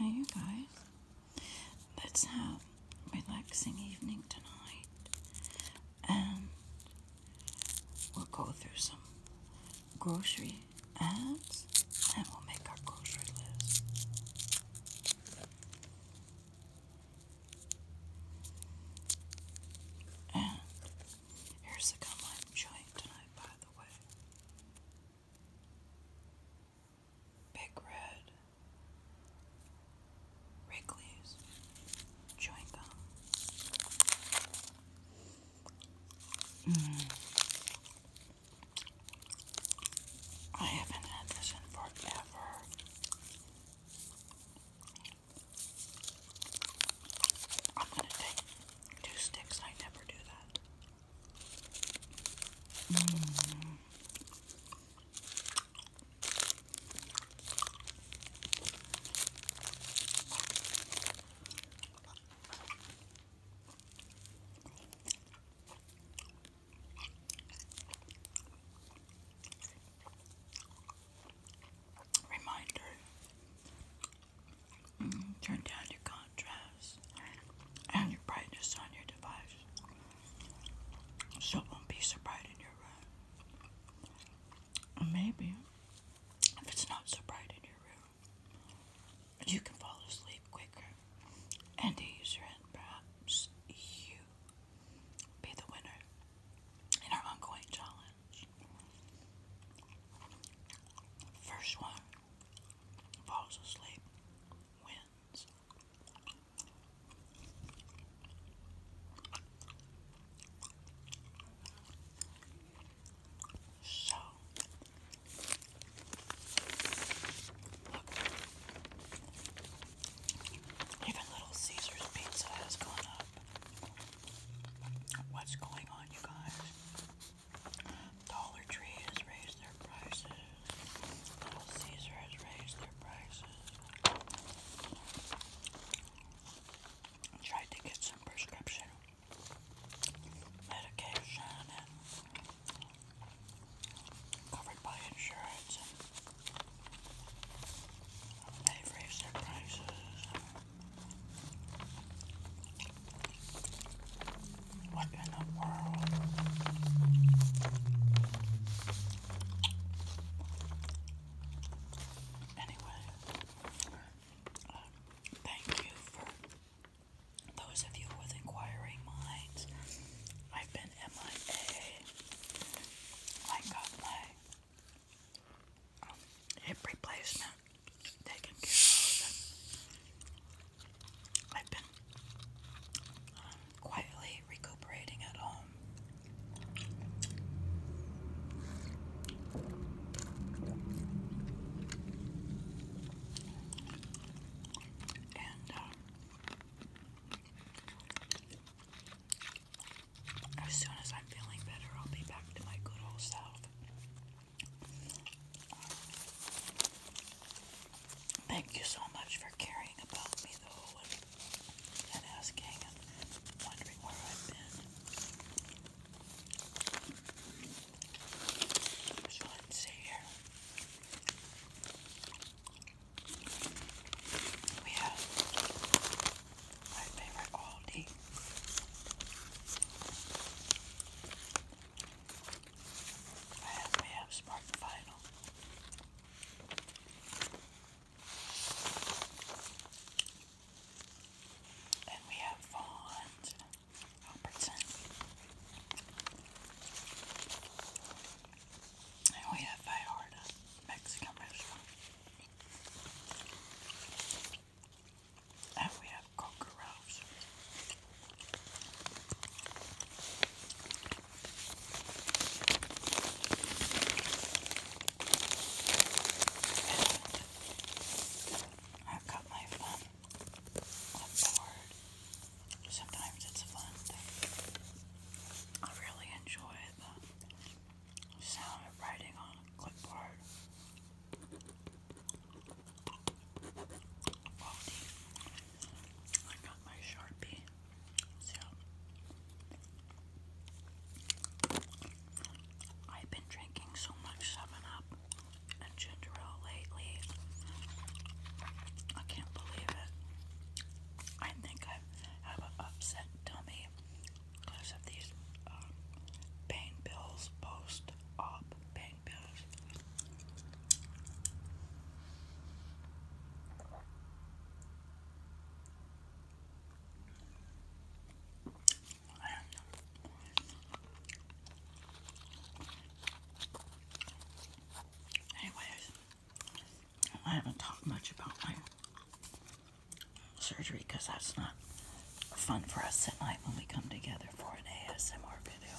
Now, you guys, let's have a relaxing evening tonight and um, we'll go through some grocery ads and we'll make our grocery list. And here's the gum i tonight, by the way. Big Red, Wrigley's, Chewing Gum. Mm. I haven't had this in forever. I'm going to take two sticks. I never do that. Mm. Reminder mm turn down your contrast and your brightness on your device so it won't be so your room. Maybe. If it's not so bright in your room, you can fall asleep quicker and easier, and perhaps you be the winner in our ongoing challenge. First one falls asleep wins. So, even Little Caesars Pizza has gone up. What's going on, you guys? Dollar Tree has raised their prices. Little Caesar has raised their prices tried to get some prescription medication covered by insurance they raised their prices. What in the world? Anyway, Thank you for those of you with inquiring minds. I've been MIA. I got my um, hip replacement taken care of. I've been um, quietly recuperating at home. And uh, as soon as I'm feeling better, I'll be back to my good old self. Thank you so much for caring about me, though, and asking. I've been. let's see here. We have my favorite Aldi. I have, we have Spartan Final. And we have Vaughn Robertson. And we have Vallarta Mexican restaurant. And we have Coca I've got my fun. What's the word? Sometimes it's fun I really enjoy the sound of writing on a clipboard. I got my Sharpie. So I've been drinking so much 7 Up and ginger ale lately. I can't believe it. I think I have an upset tummy because of these um, pain pills, post op pain pills. Anyways, I haven't talked much about my surgery because that's not fun for us at night when we come together for an ASMR video.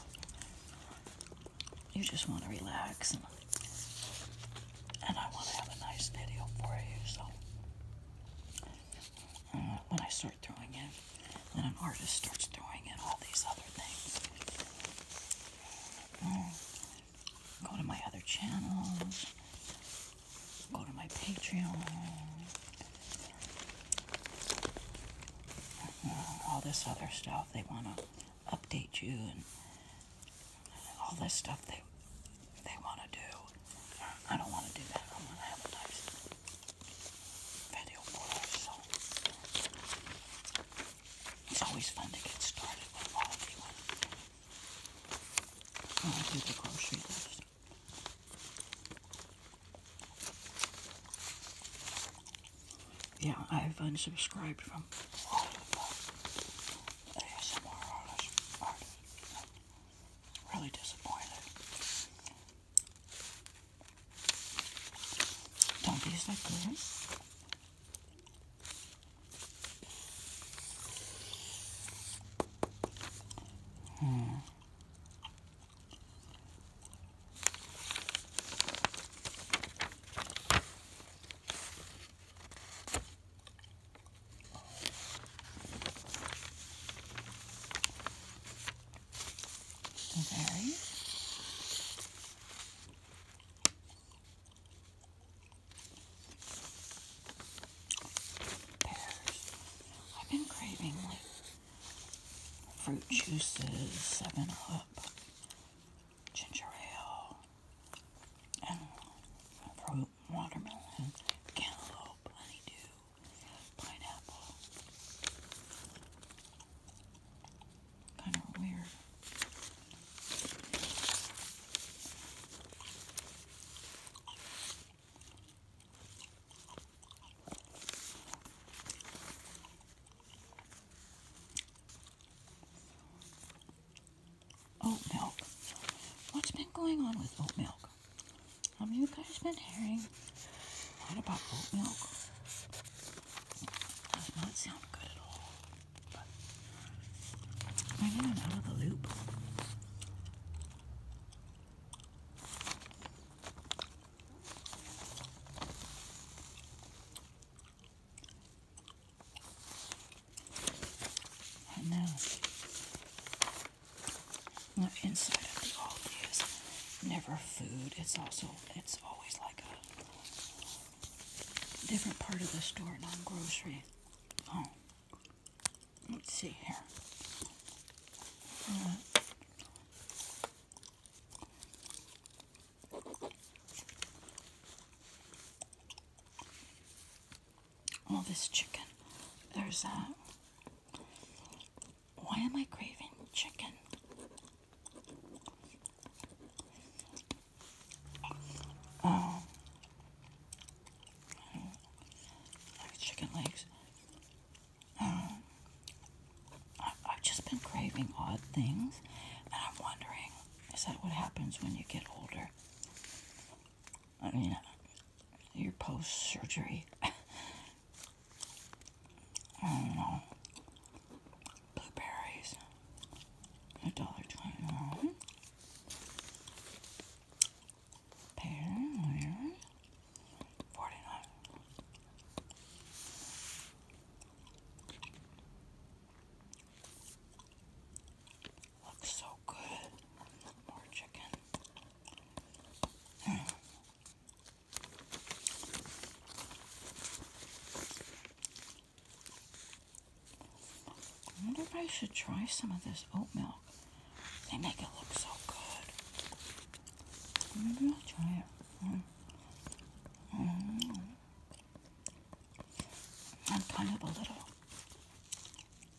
You just want to relax and, and I want to have a nice video for you, so uh, when I start throwing in, when an artist starts throwing in all these other things, uh, go to my other channels, go to my Patreon, uh, all this other stuff. They want to update you and all this stuff they they want to do. I don't want to do that. I want to advertise video blogs. it's always fun to get started with all of you. When I do the Yeah, I've unsubscribed from really disappointed. Don't these look good? Hmm. Okay. I've been craving like fruit juices, seven up, ginger ale, and watermelon, cantaloupe, honeydew, pineapple. Kind of weird oat milk. What's been going on with oat milk? Have you guys been hearing a about oat milk? does not sound good at all. I'm in and out of the loop. I know. inside of the Aldi is never food. It's also it's always like a different part of the store, not grocery. Oh, let's see here. Uh, all this chicken. There's a. Why am I craving chicken? Oh. Like chicken legs. Um, I've just been craving odd things, and I'm wondering is that what happens when you get older? I mean, your post surgery. I don't know. Blueberries. A dollar twenty one. pear. Forty nine. Looks so good. More chicken. I wonder if I should try some of this oat milk. They make it look so good. Maybe I'll try it. Mm-hmm. Mm-hmm. I'm kind of a little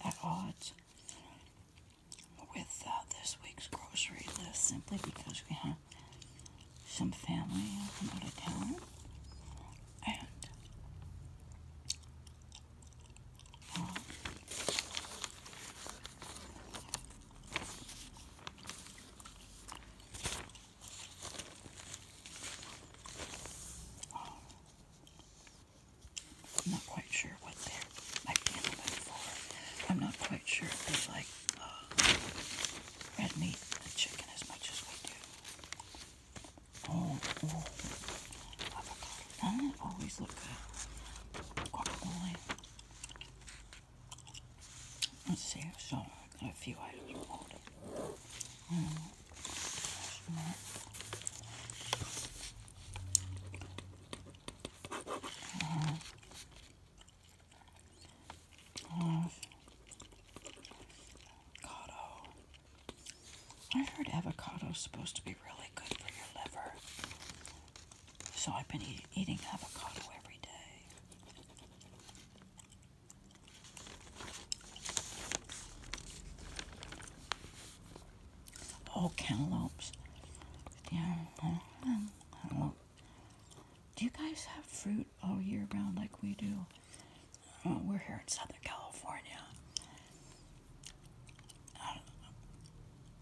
at odds with uh, this week's grocery list simply because we have some family out of town. And I'm not quite sure what they're like. I'm not quite sure if they like uh, red meat and chicken as much as we do. Oh, oh. avocado. Doesn't oh, always look good? Let's see, so a few items avocado. i heard avocado is supposed to be really good for your liver. So I've been eating avocado every day. Oh, cantaloupes. Yeah, Do you guys have fruit all year round like we do? Uh, we're here in Southern California.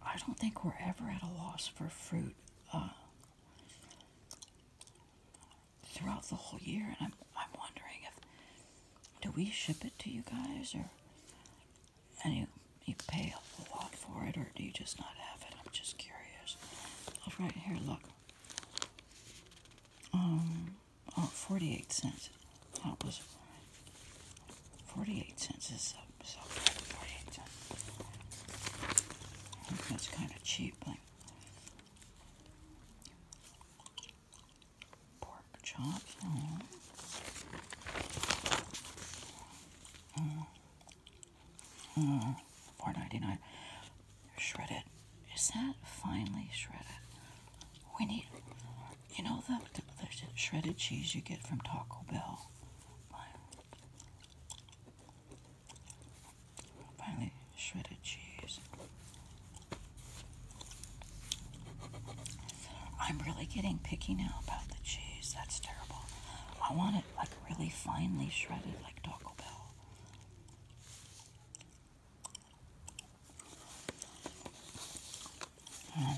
I don't, think we're ever at a loss for fruit uh, throughout the whole year, and I'm, I'm wondering if do we ship it to you guys or and you you pay a lot for it or do you just not have it? I'm just curious. Look right here, look. Um oh 48 cents. That was 48 cents is so, so that's kind of cheap, pork chop, mm. Mm. Four ninety nine. Shredded. Is that finely shredded? We need, you know, the, the shredded cheese you get from Taco Bell. Finally shredded cheese. I'm really getting picky now about the cheese. That's terrible. I want it like really finely shredded like Taco Bell. Hmm.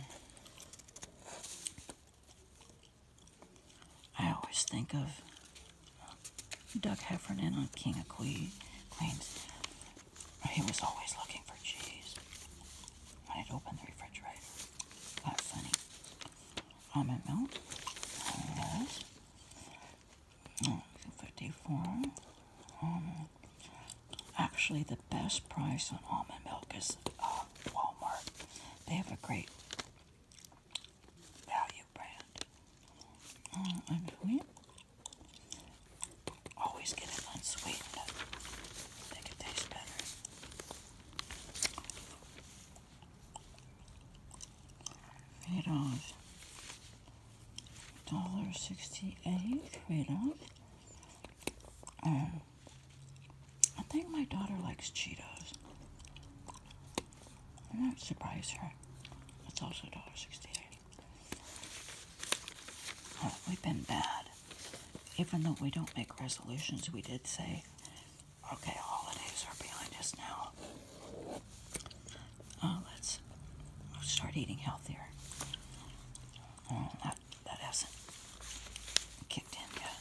I always think of Doug Heffernan on King of Queens he was always looking for cheese when it open the refrigerator. That's funny. Almond milk. Yes. 54. Um, actually, the best price on almond milk is uh, Walmart. They have a great value brand. Um, and wheat. Always get it unsweetened. Make it taste better. Radov. Dollar sixty-eight Radov. Um, I think my daughter likes Cheetos. I might surprise her. It's also dollar sixty-eight. Oh, we've been bad. Even though we don't make resolutions, we did say, okay, holidays are behind us now. Oh, let's start eating healthier. Oh, that, hasn't kicked in yet.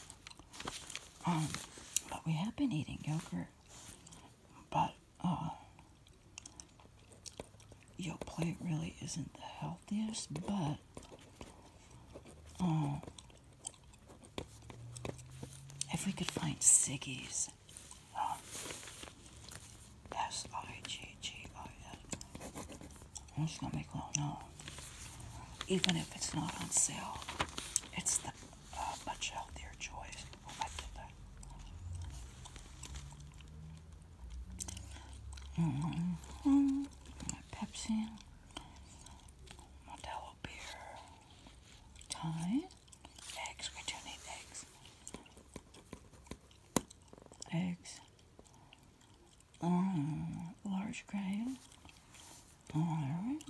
Um, but we have been eating yogurt. But, uh, your plant really isn't the healthiest, but um, if we could find Siggy's, oh, S I G G I S, I'm just gonna make one. even if it's not on sale, it's the uh, much healthier choice. Oh, Mm -hmm. Pepsi, Modelo beer, Thai, eggs. We do need eggs. Eggs. Mm, large grain. All right.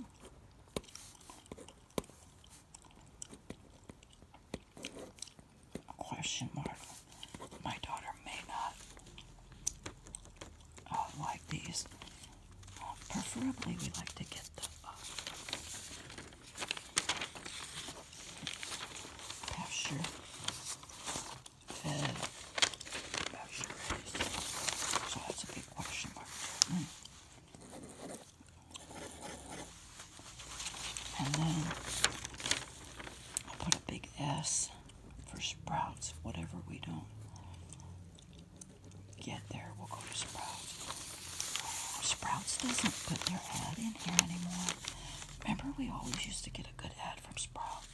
Question mark. My daughter may not uh, like these. preferably, we like to get the uh, pasture fed pasture raised. So that's a big question mark. Hmm. And then I put a big S for Sprouts. Whatever we don't get there, we'll go to Sprouts. Sprouts doesn't put their ad in here anymore. Remember, we always used to get a good ad from Sprouts.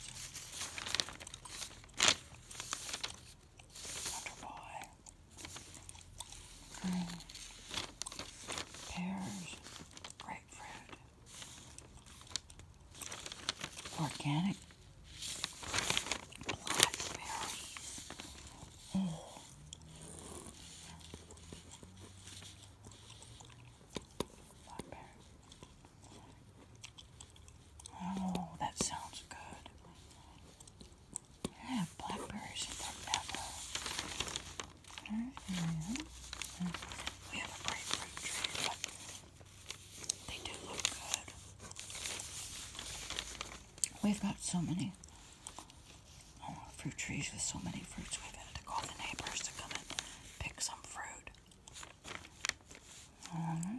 Wonder mm, Pears grapefruit. Organic blackberries. Oh. Blackberry. Oh, that sounds good. I have blackberries in forever. Mm-hmm. we have a grapefruit tree, they do look good. We've got so many oh, fruit trees with so many fruits, we've had to call the neighbors to come and pick some fruit. Mm-hmm.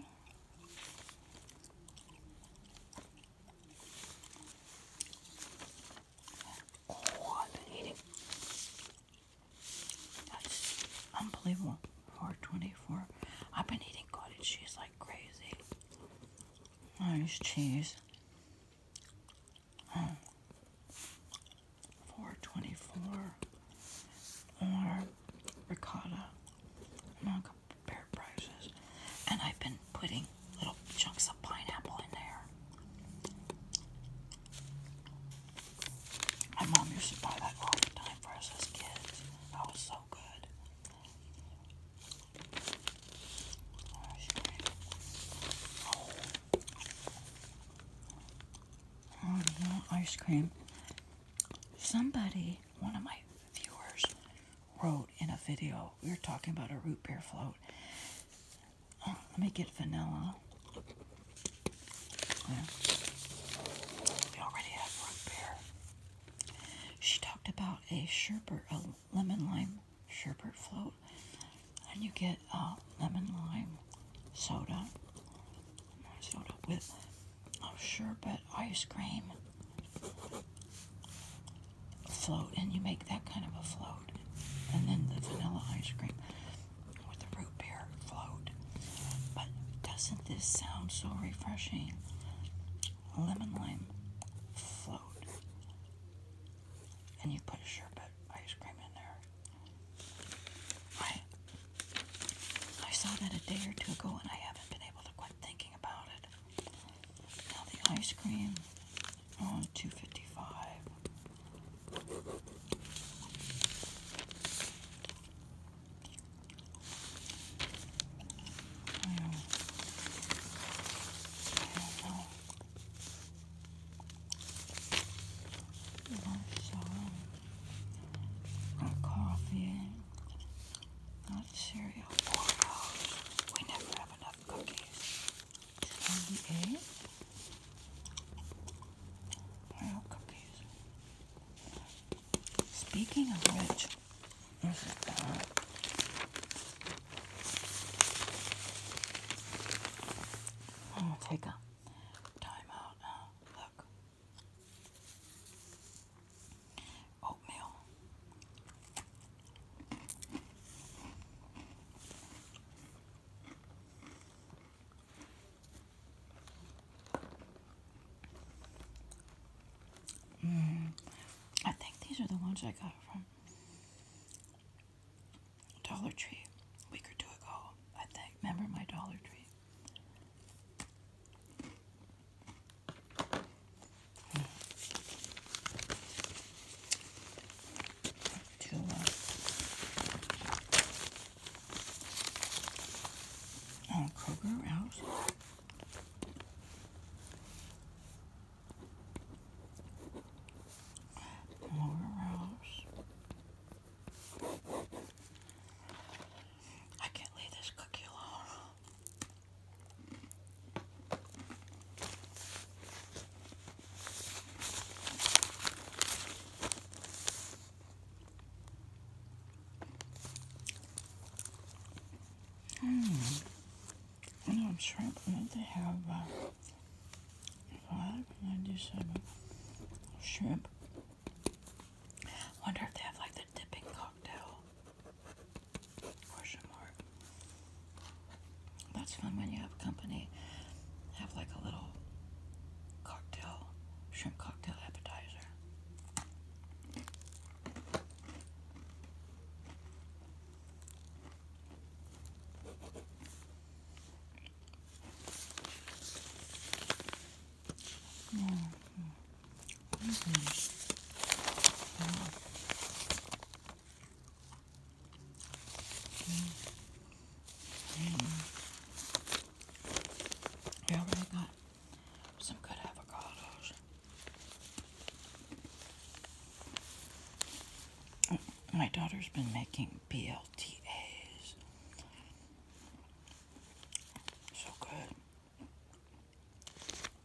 Oh, I've been eating. That's unbelievable. 424. I've been eating cottage cheese like crazy. Nice oh, cheese. 424 or ricotta among compared prices. And I've been putting little chunks of pineapple in there. My mom used to buy that all the time for us as kids. That was so good. ice cream. Somebody, one of my viewers, wrote in a video, we were talking about a root beer float, Oh, let me get vanilla. We already have root beer. She talked about a sherbet, a lemon lime sherbet float, and you get a uh, lemon lime soda, soda with oh, sherbet ice cream float, and you make that kind of a float and then the vanilla ice cream with the root beer float. But doesn't this sound so refreshing? Lemon lime float. And you put sherbet ice cream in there. I I saw that a day or two ago and I haven't been able to quit thinking about it. Now the ice cream on 255. I uh, coffee, not cereal. Oh we never have enough cookies. Speaking of which, take a time now. Look. Oatmeal. Mm, I think these are the ones I got from Dollar Tree a week or two ago. I think. Remember my Dollar Tree? Oh, Kroger House. Kroger I can't leave this cookie alone. I hmm. know I'm sure they have uh, five, ninety-seven shrimp. Wonder if they have like the dipping cocktail. Question mark. That's fun when you have company. Have like a little cocktail, shrimp cocktail appetizer. Mm-hmm. Mm-hmm. Yeah, we got some good avocados. My daughter's been making BLTAs. So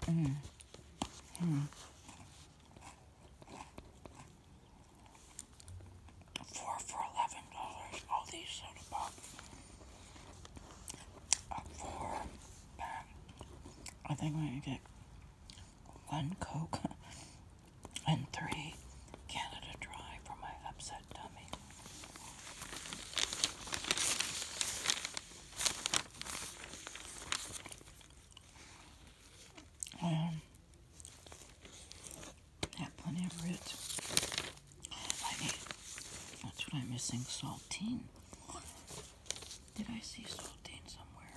good. Mm. Mm. Four for eleven dollars. All these soda pop. A four I think we get one Coke and three Canada Dry for my upset tummy. Um, that plenty of root. I need, that's what I'm missing, saltine. Did I see saltine somewhere?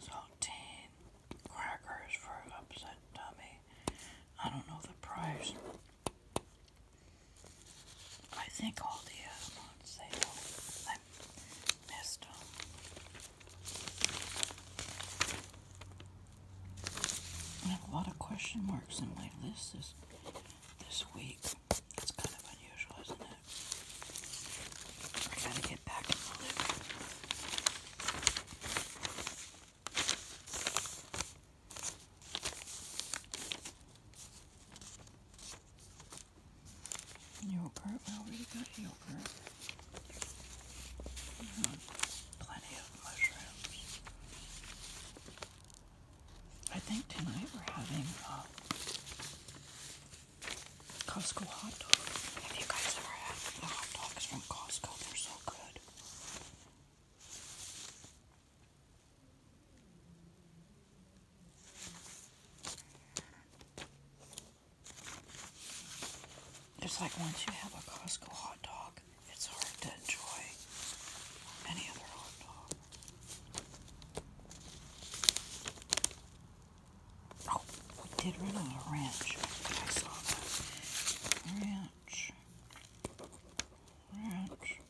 Saltine crackers for upset tummy. I don't know the price. I think all the other ones, they do missed them. I have a lot of question marks in my list this, this week. It's kind of unusual, isn't it? I gotta get back in the living. Yogurt. Well, we got yogurt. Mm-hmm. plenty of mushrooms. I think tonight we're having uh, Costco hot dogs. Have you guys ever had the hot dogs from Costco? They're so good. It's like once you have a Costco hot dog, it's hard to enjoy any other hot dog. Oh, we did run out of ranch. Ranch. Ranch.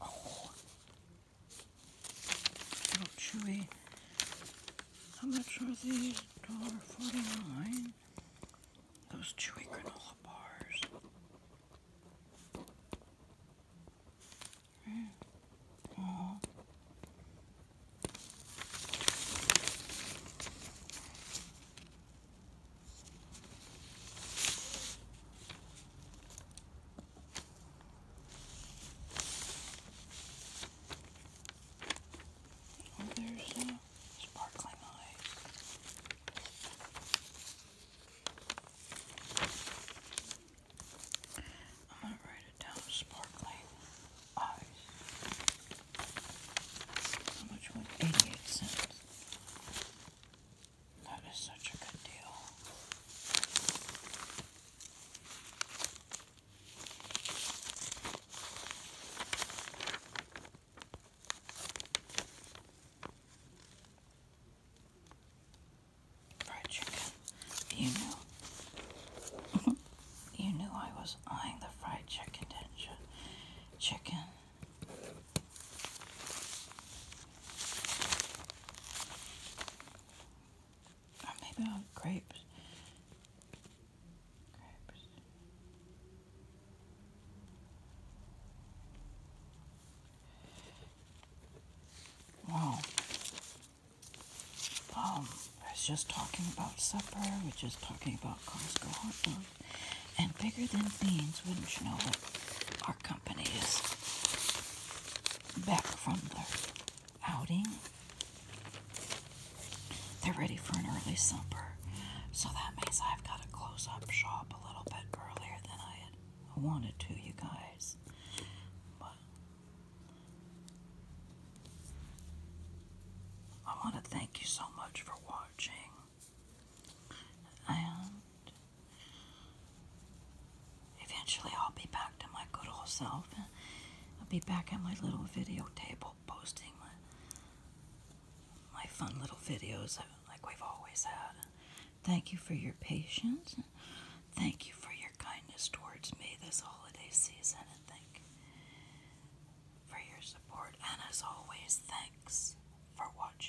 Oh, so chewy. How much are these? $1.49. Those chewy granola bars there's uh, sparkling eyes. I'm going to write it down sparkling eyes. How much was 88 cents? That is such a good deal for chicken. You knew. you knew I was eyeing the fried chicken, Chicken. maybe Grapes. Wow. Um, I was just talking about supper. We are just talking about Costco hot dogs. And bigger than beans, wouldn't you know it? Our company is back from the outing. They're ready for an early supper. So that means I've got to close up shop a little bit earlier than I had wanted to, you guys. I want to thank you so much for watching. And eventually I'll be back to my good old self. I'll be back at my little video table posting my, fun little videos like we've always had. Thank you for your patience. Thank you for your kindness towards me this holiday season, and thank for your support. And as always, thanks for watching.